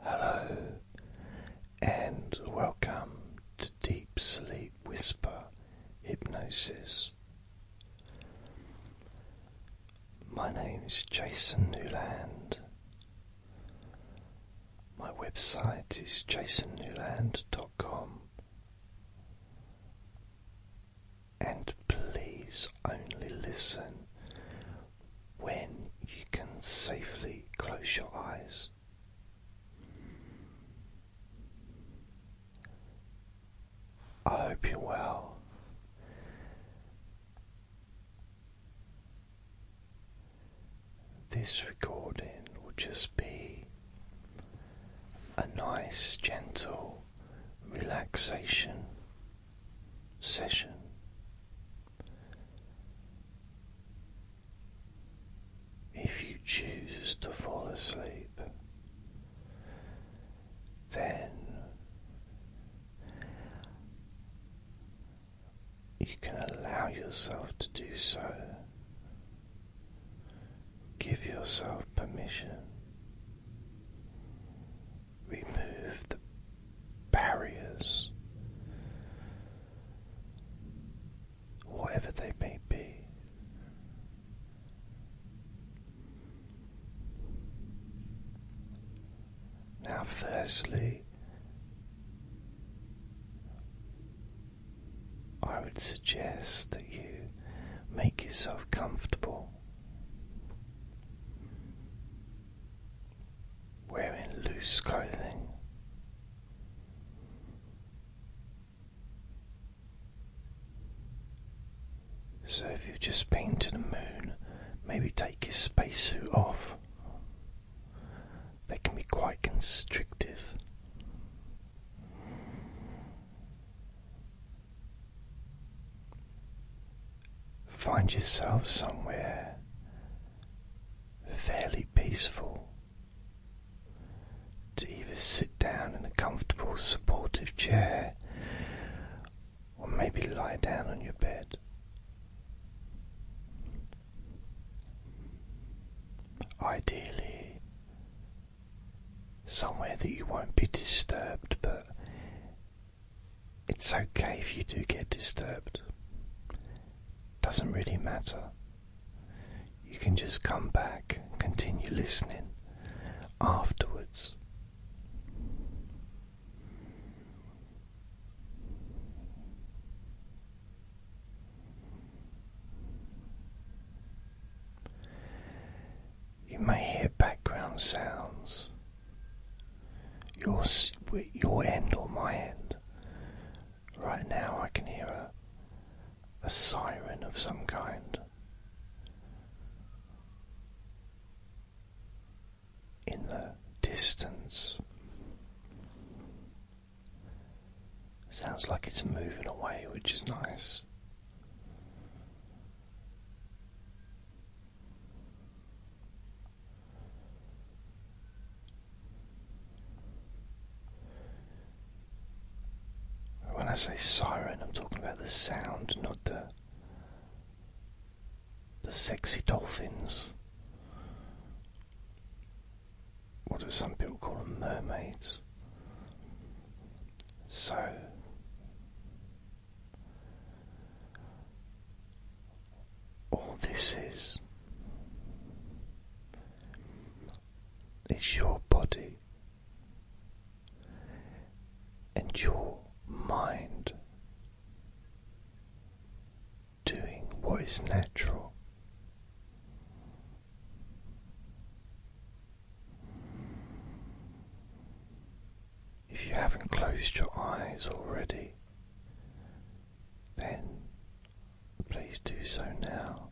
Hello, and welcome to Deep Sleep Whisper Hypnosis. My name is Jason Newland. My website is jasonnewland.com. And please only listen when you can safely close your eyes. I hope you're well. This recording will just be a nice, gentle relaxation session. If you choose to fall asleep, then you can allow yourself to do so. Give yourself permission remove the barriers, whatever they may be. Now, firstly, I would suggest that you make yourself comfortable wearing loose clothing. So, if you've just been to the moon, maybe take your spacesuit off. They can be quite constrictive find yourself somewhere fairly peaceful to either sit down in a comfortable, supportive chair or maybe lie down on your bed. Ideally, somewhere that you won't be disturbed, but it's okay if you do get disturbed. Doesn't really matter. You can just come back, continue listening afterwards. You may hear background sounds your your end or my end. Right now, I can hear a a siren of some kind. In the distance, sounds like it's moving away, which is nice. When I say siren, I'm talking about the sound, not the the sexy dolphins. What do some people call them? Mermaids. So all this is is your body and your mind doing what is natural. If you haven't closed your eyes already, then please do so now.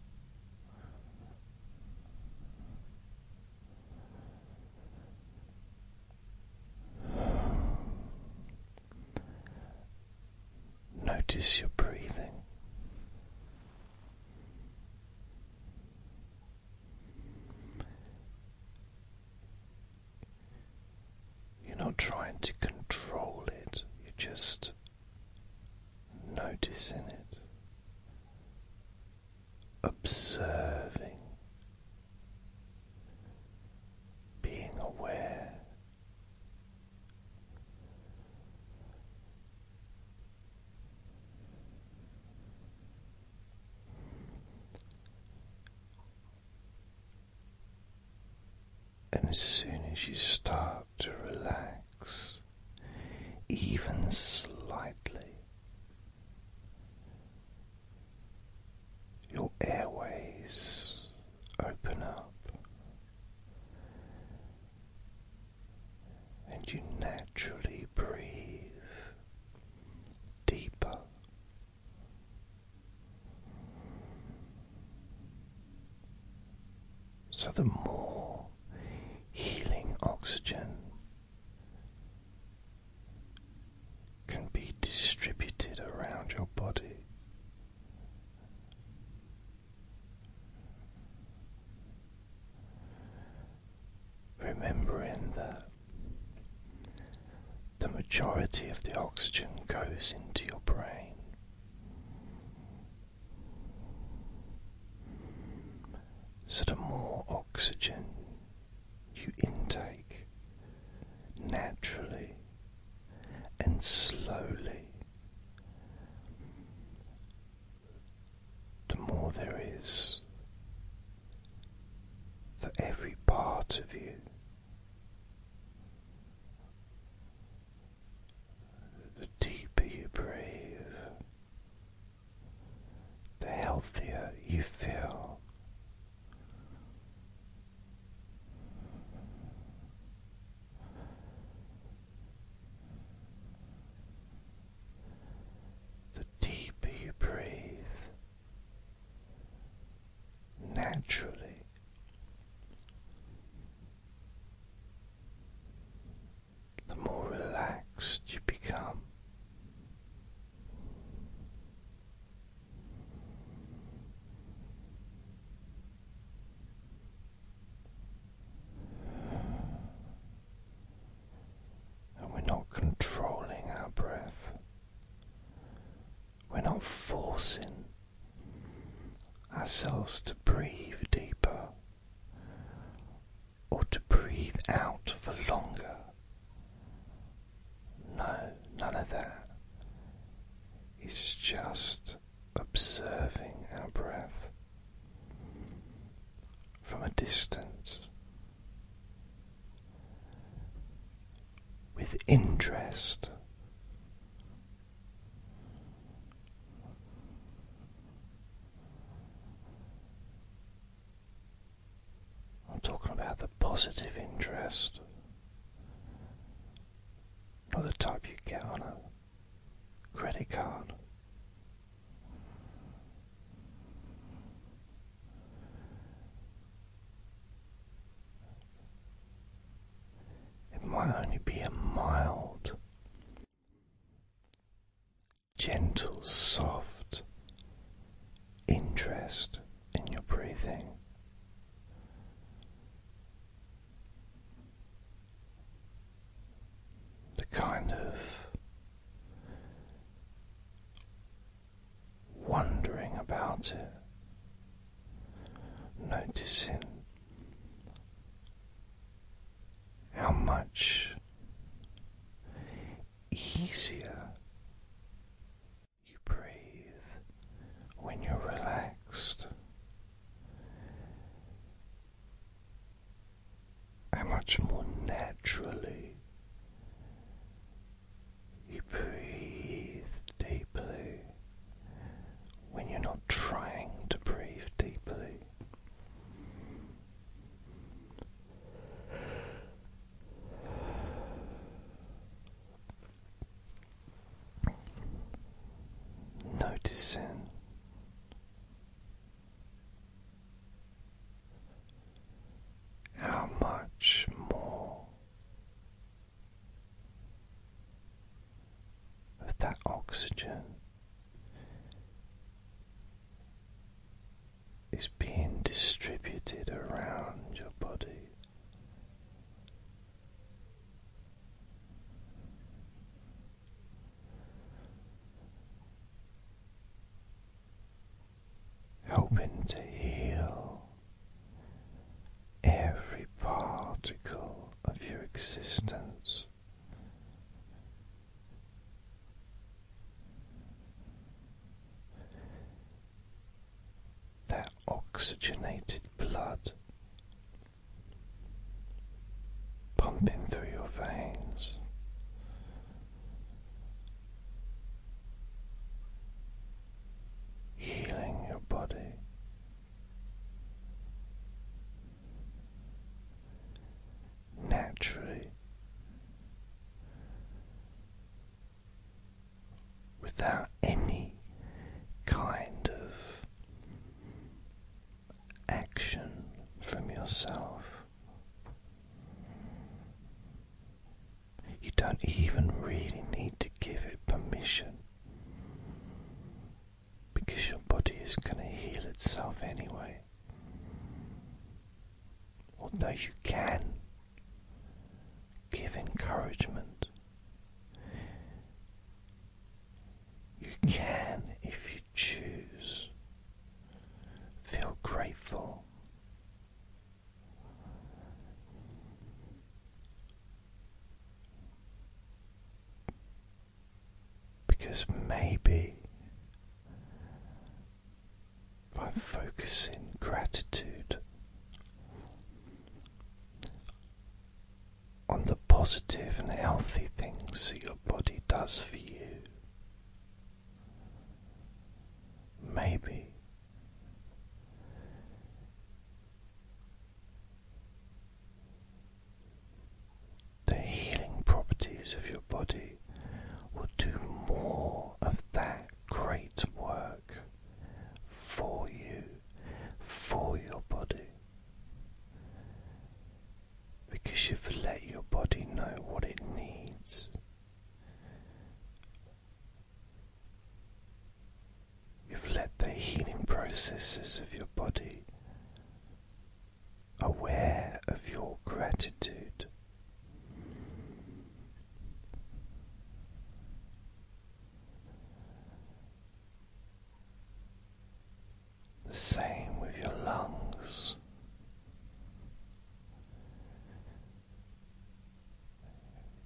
Notice your breathing. You're not trying to control it, you're just noticing it, observing, being aware. And as soon as you start to relax, even slightly, your airways open up, and you naturally breathe deeper so, the more healing oxygen can be distributed around your body. Remembering that the majority of the oxygen goes into your brain. So, the more oxygen you intake naturally and slowly, the more there is for every part of you. The deeper you breathe, the healthier you feel. The deeper you breathe, naturally. The more relaxed you become, and we're not controlling our breath, we're not forcing ourselves to breathe deeper or to breathe out for longer. No, none of that. It's just observing our breath from a distance with interest. I'm talking about the positive interest, not the type you get on a credit card. It might only be a mild, gentle, soft interest in your breathing. The kind of wondering about it, noticing how much easier you breathe when you're relaxed, how much more naturally you breathe deeply when you're not trying to breathe deeply. Noticing how much more that oxygen is being distributed around your body. Helping to heal every particle of your existence. That oxygenated blood pumping through your veins, healing your body. Naturally, without any kind of action from yourself, you don't even really need to give it permission because your body is going to heal itself anyway. Although you can give encouragement, you can, if you choose, feel grateful because maybe by focusing gratitude on the positive and healthy things that your body does for you, maybe the healing properties of your body will do more of that great work for you, for your body, because you've let your body know what it needs, You've let the healing processes of your body aware of your gratitude. The same with your lungs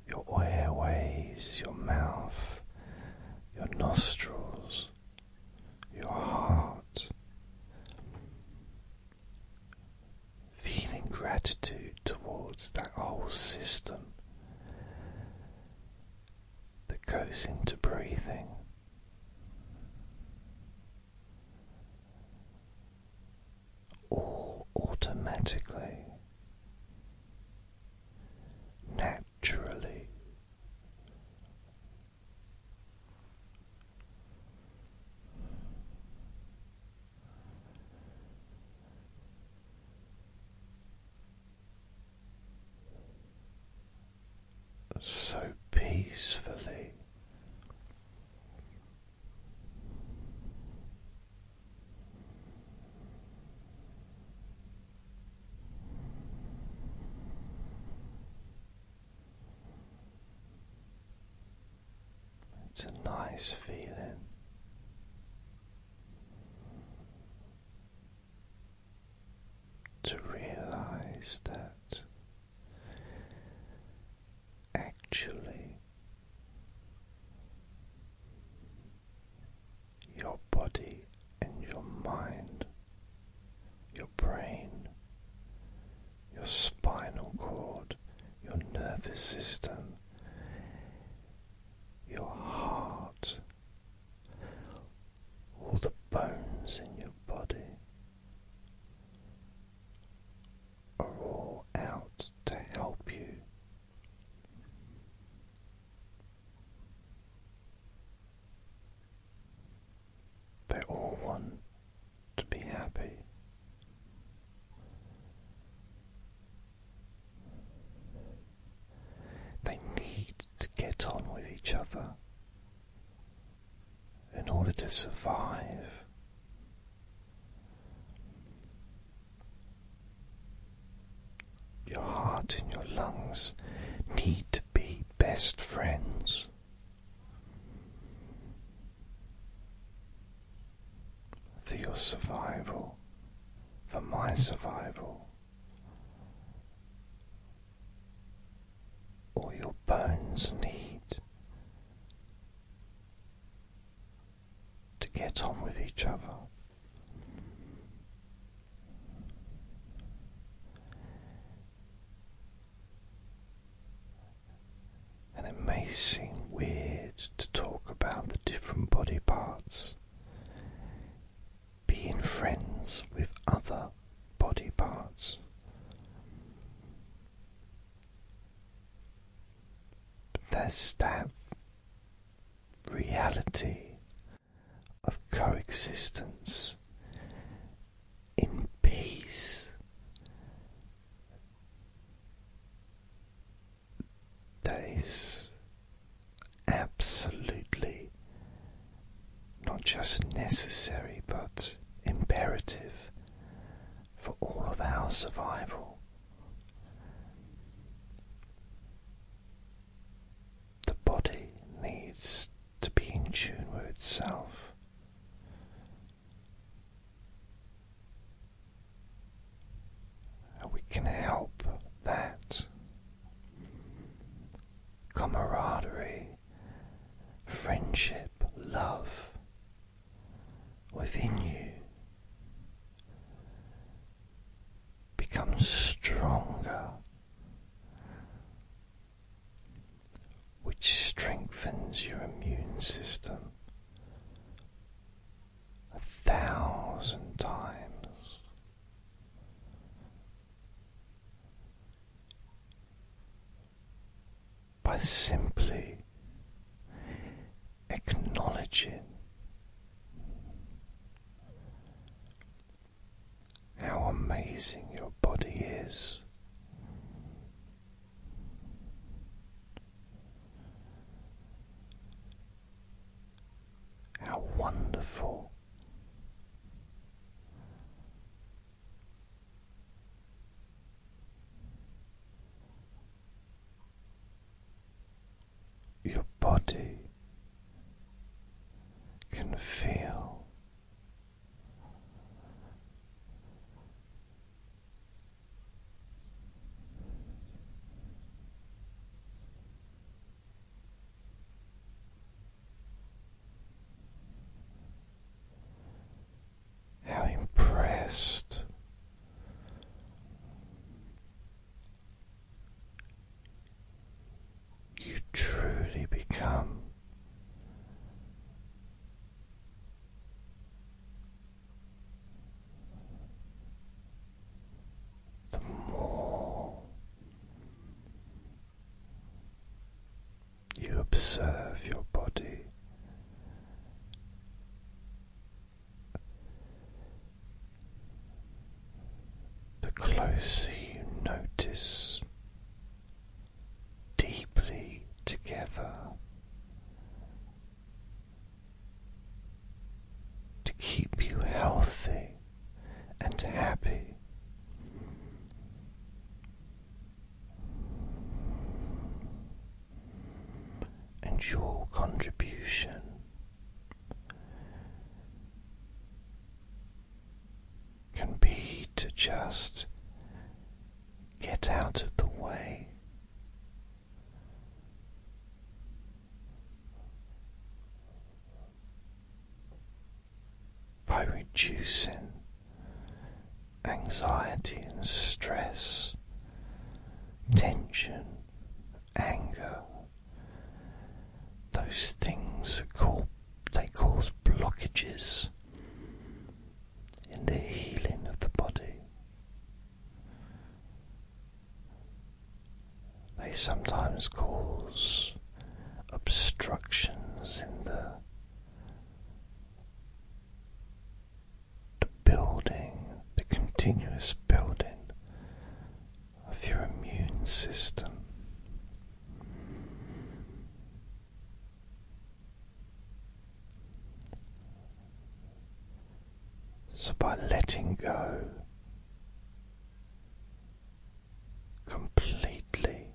your airways, your mouth, your nostrils, your heart. Feeling gratitude towards that whole system that goes into breathing all automatically, naturally. So peacefully, it's a nice feeling. To realize that actually your body and your mind, your brain, your spinal cord, your nervous system, your heart, all the bones in your body are all out to help you they all want to be happy. They need to get on with each other in order to survive your heart and your lungs need to be best friends. For your survival, for my survival, all your bones need to get on with each other. And it may seem weird to talk about the different body parts. Being friends with other body parts. But that's that reality of coexistence in peace. That is absolutely not just necessary but imperative for all of our survival. The body needs to be in tune with itself. we can help that camaraderie, friendship, love within you becomes stronger, which strengthens your immune system a thousand times. By simply Acknowledge it. how amazing your body is. How wonderful your body can feel how impressed you truly become the more you observe your body the closer you notice deeply together to keep you healthy and happy. And your contribution can be to just get out of the way. By reducing anxiety and stress, tension anger. Those things are called, they cause blockages in the healing of the body. They sometimes cause obstructions in the building, the continuous building of your immune system. So, by letting go completely,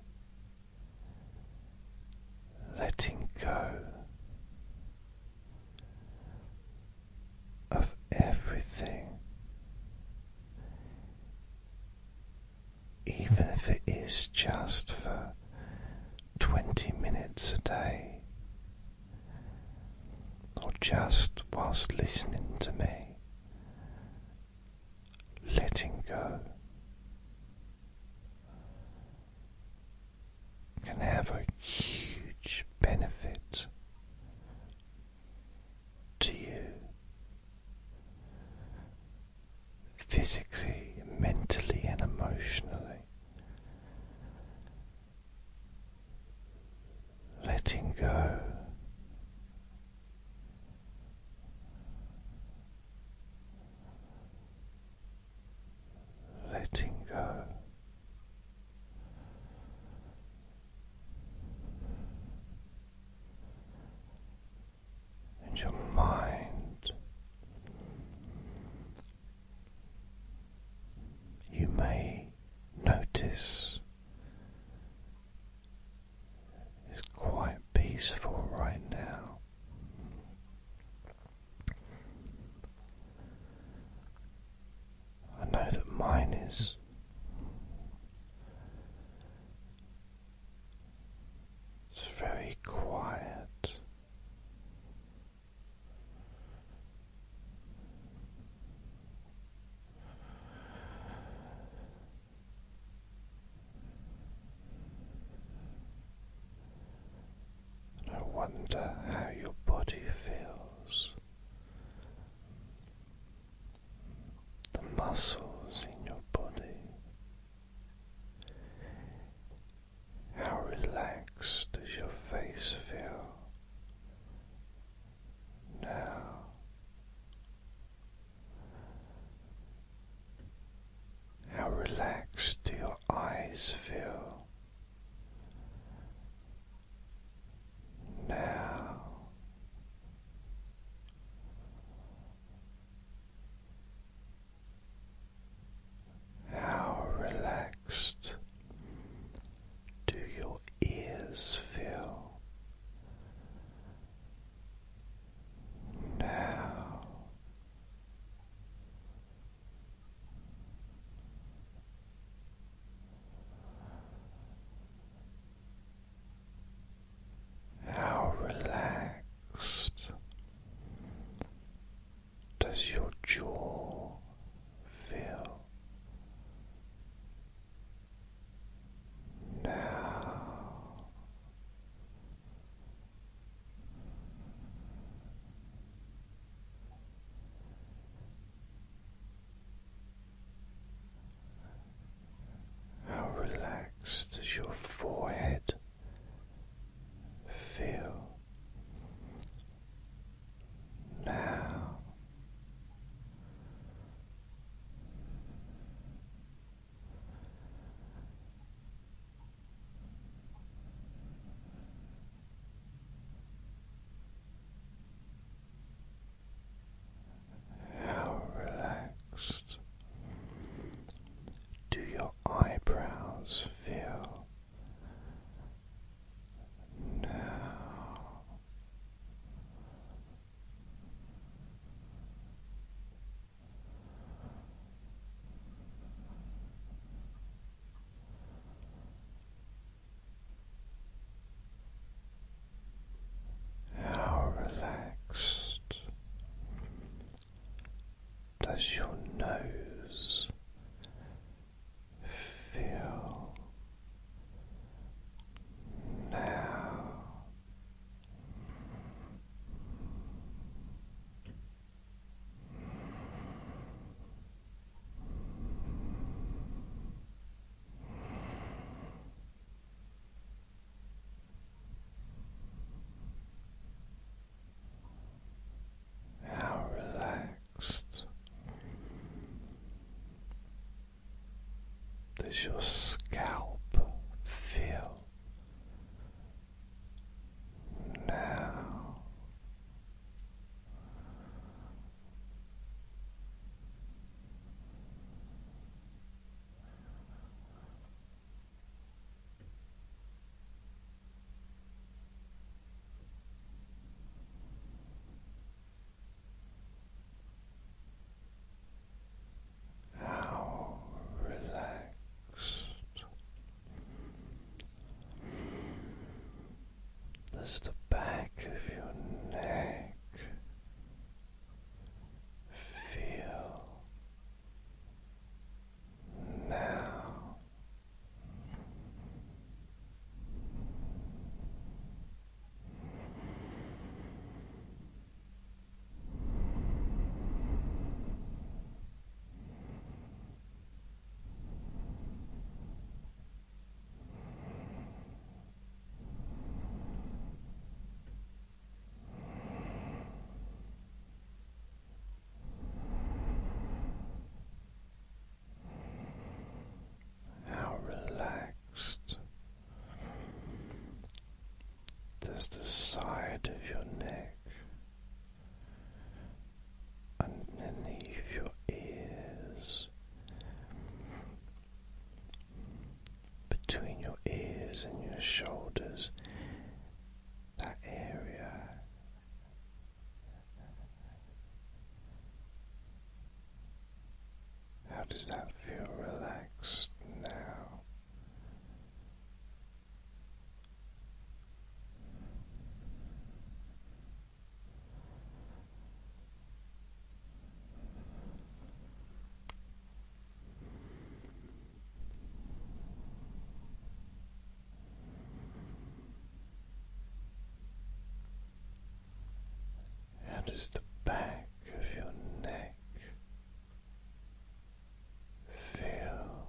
letting go of everything, even if it is just for 20 minutes a day, or just whilst listening to me, letting go can have a huge benefit to you physically, mentally, and emotionally. Letting go. Letting go. In your mind. You may notice it's quite peaceful right now. I know that mine is. It's very quiet. I wonder how your body feels the muscles in your body, how relaxed does your face feel now? How relaxed do your eyes feel? Now how relaxed do your ears feel? Now how relaxed does your jaw feel? Now how relaxed does your forehead feel now? How relaxed do your eyebrows feel now? How relaxed does your nose feel now? How relaxed does your scalp feel now? How relaxed there's the back of your neck. Feel now. How relaxed does the side of your neck underneath your ears between your ears and your shoulders, that area. How does that feel relaxed now? How does the back of your neck feel?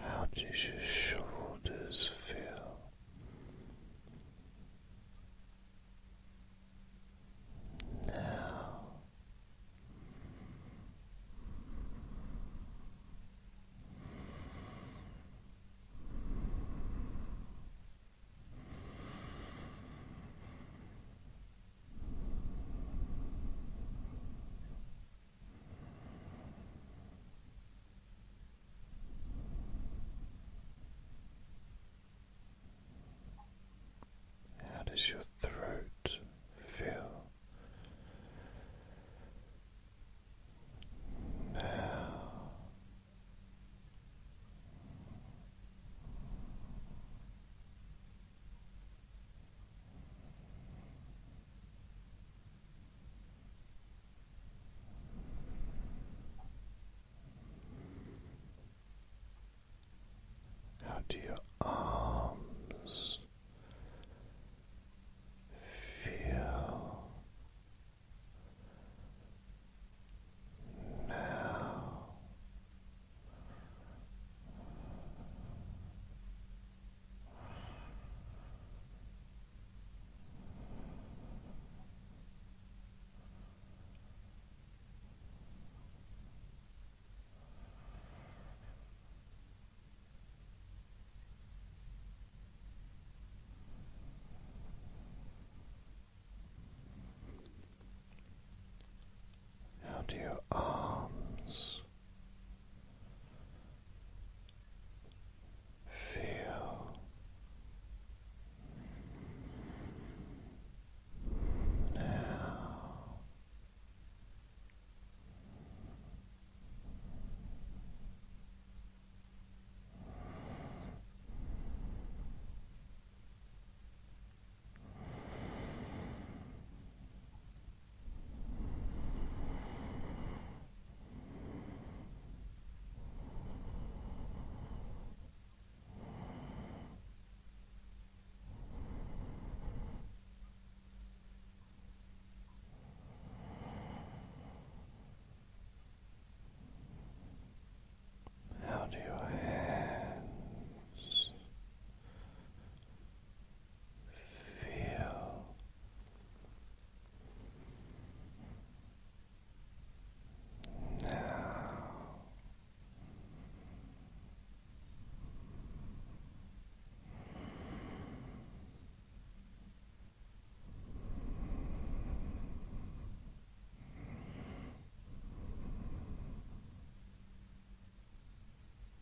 How does your shoulders feel? Now, how does your throat feel now? How do your arms feel now? How do your arms Feel now how do your hands feel now.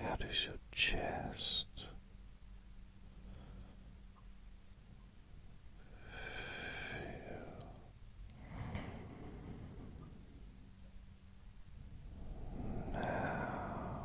How does your chest feel now?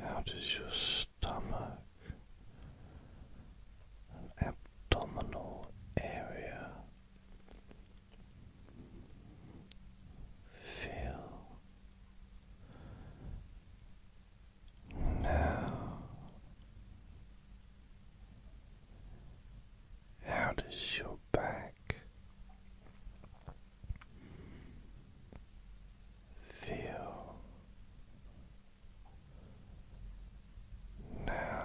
How does your stomach abdominal area feel now? How does your back? Feel now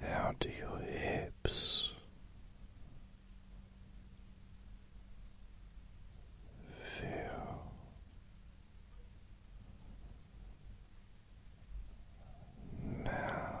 How do your hips feel? Now,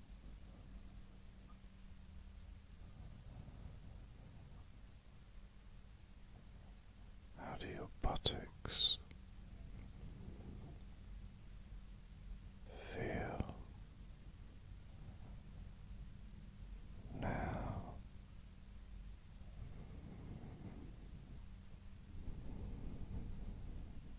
How do your buttocks feel now?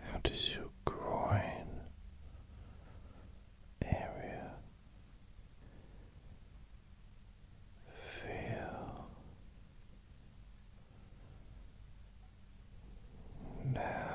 How does your groin area feel now?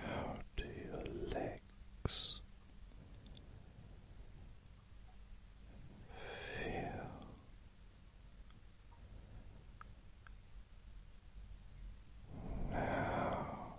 How do your legs feel? Now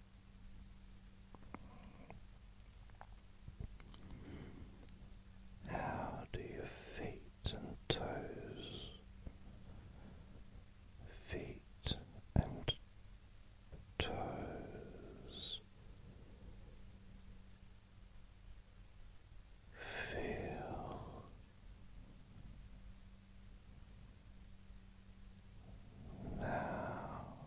How do your feet and toes, feet and toes feel? Now,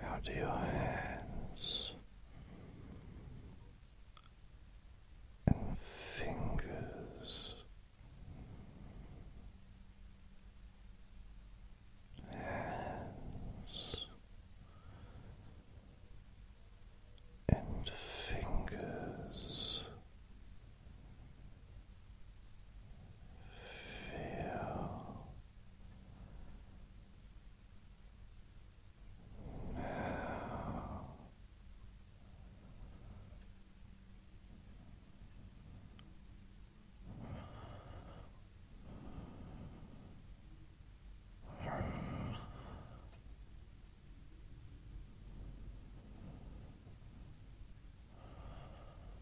How do your hands and fingers hands and fingers Feel now Relax.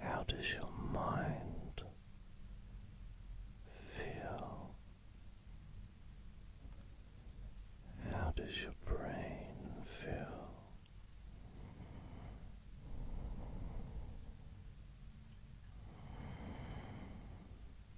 How does your mind feel? How does your brain feel?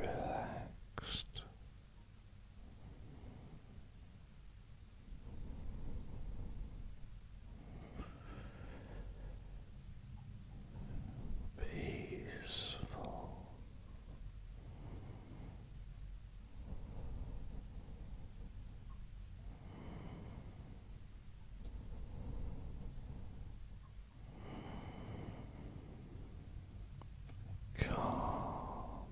lose. Relaxed, peaceful, Calm.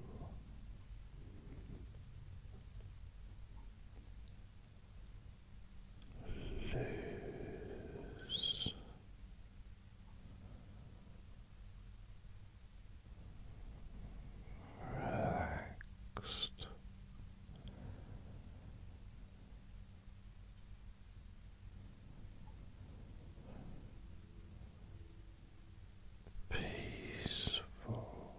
Loose relaxed. Peaceful.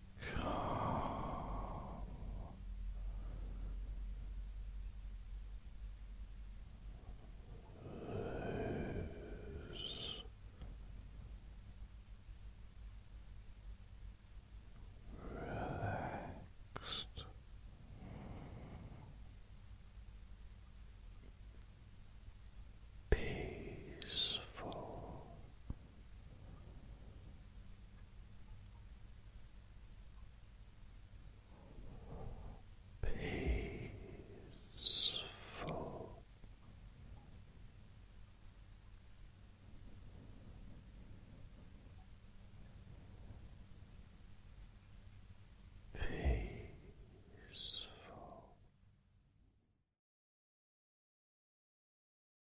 calm. Loose. Relaxed. Peaceful Peaceful. Peaceful.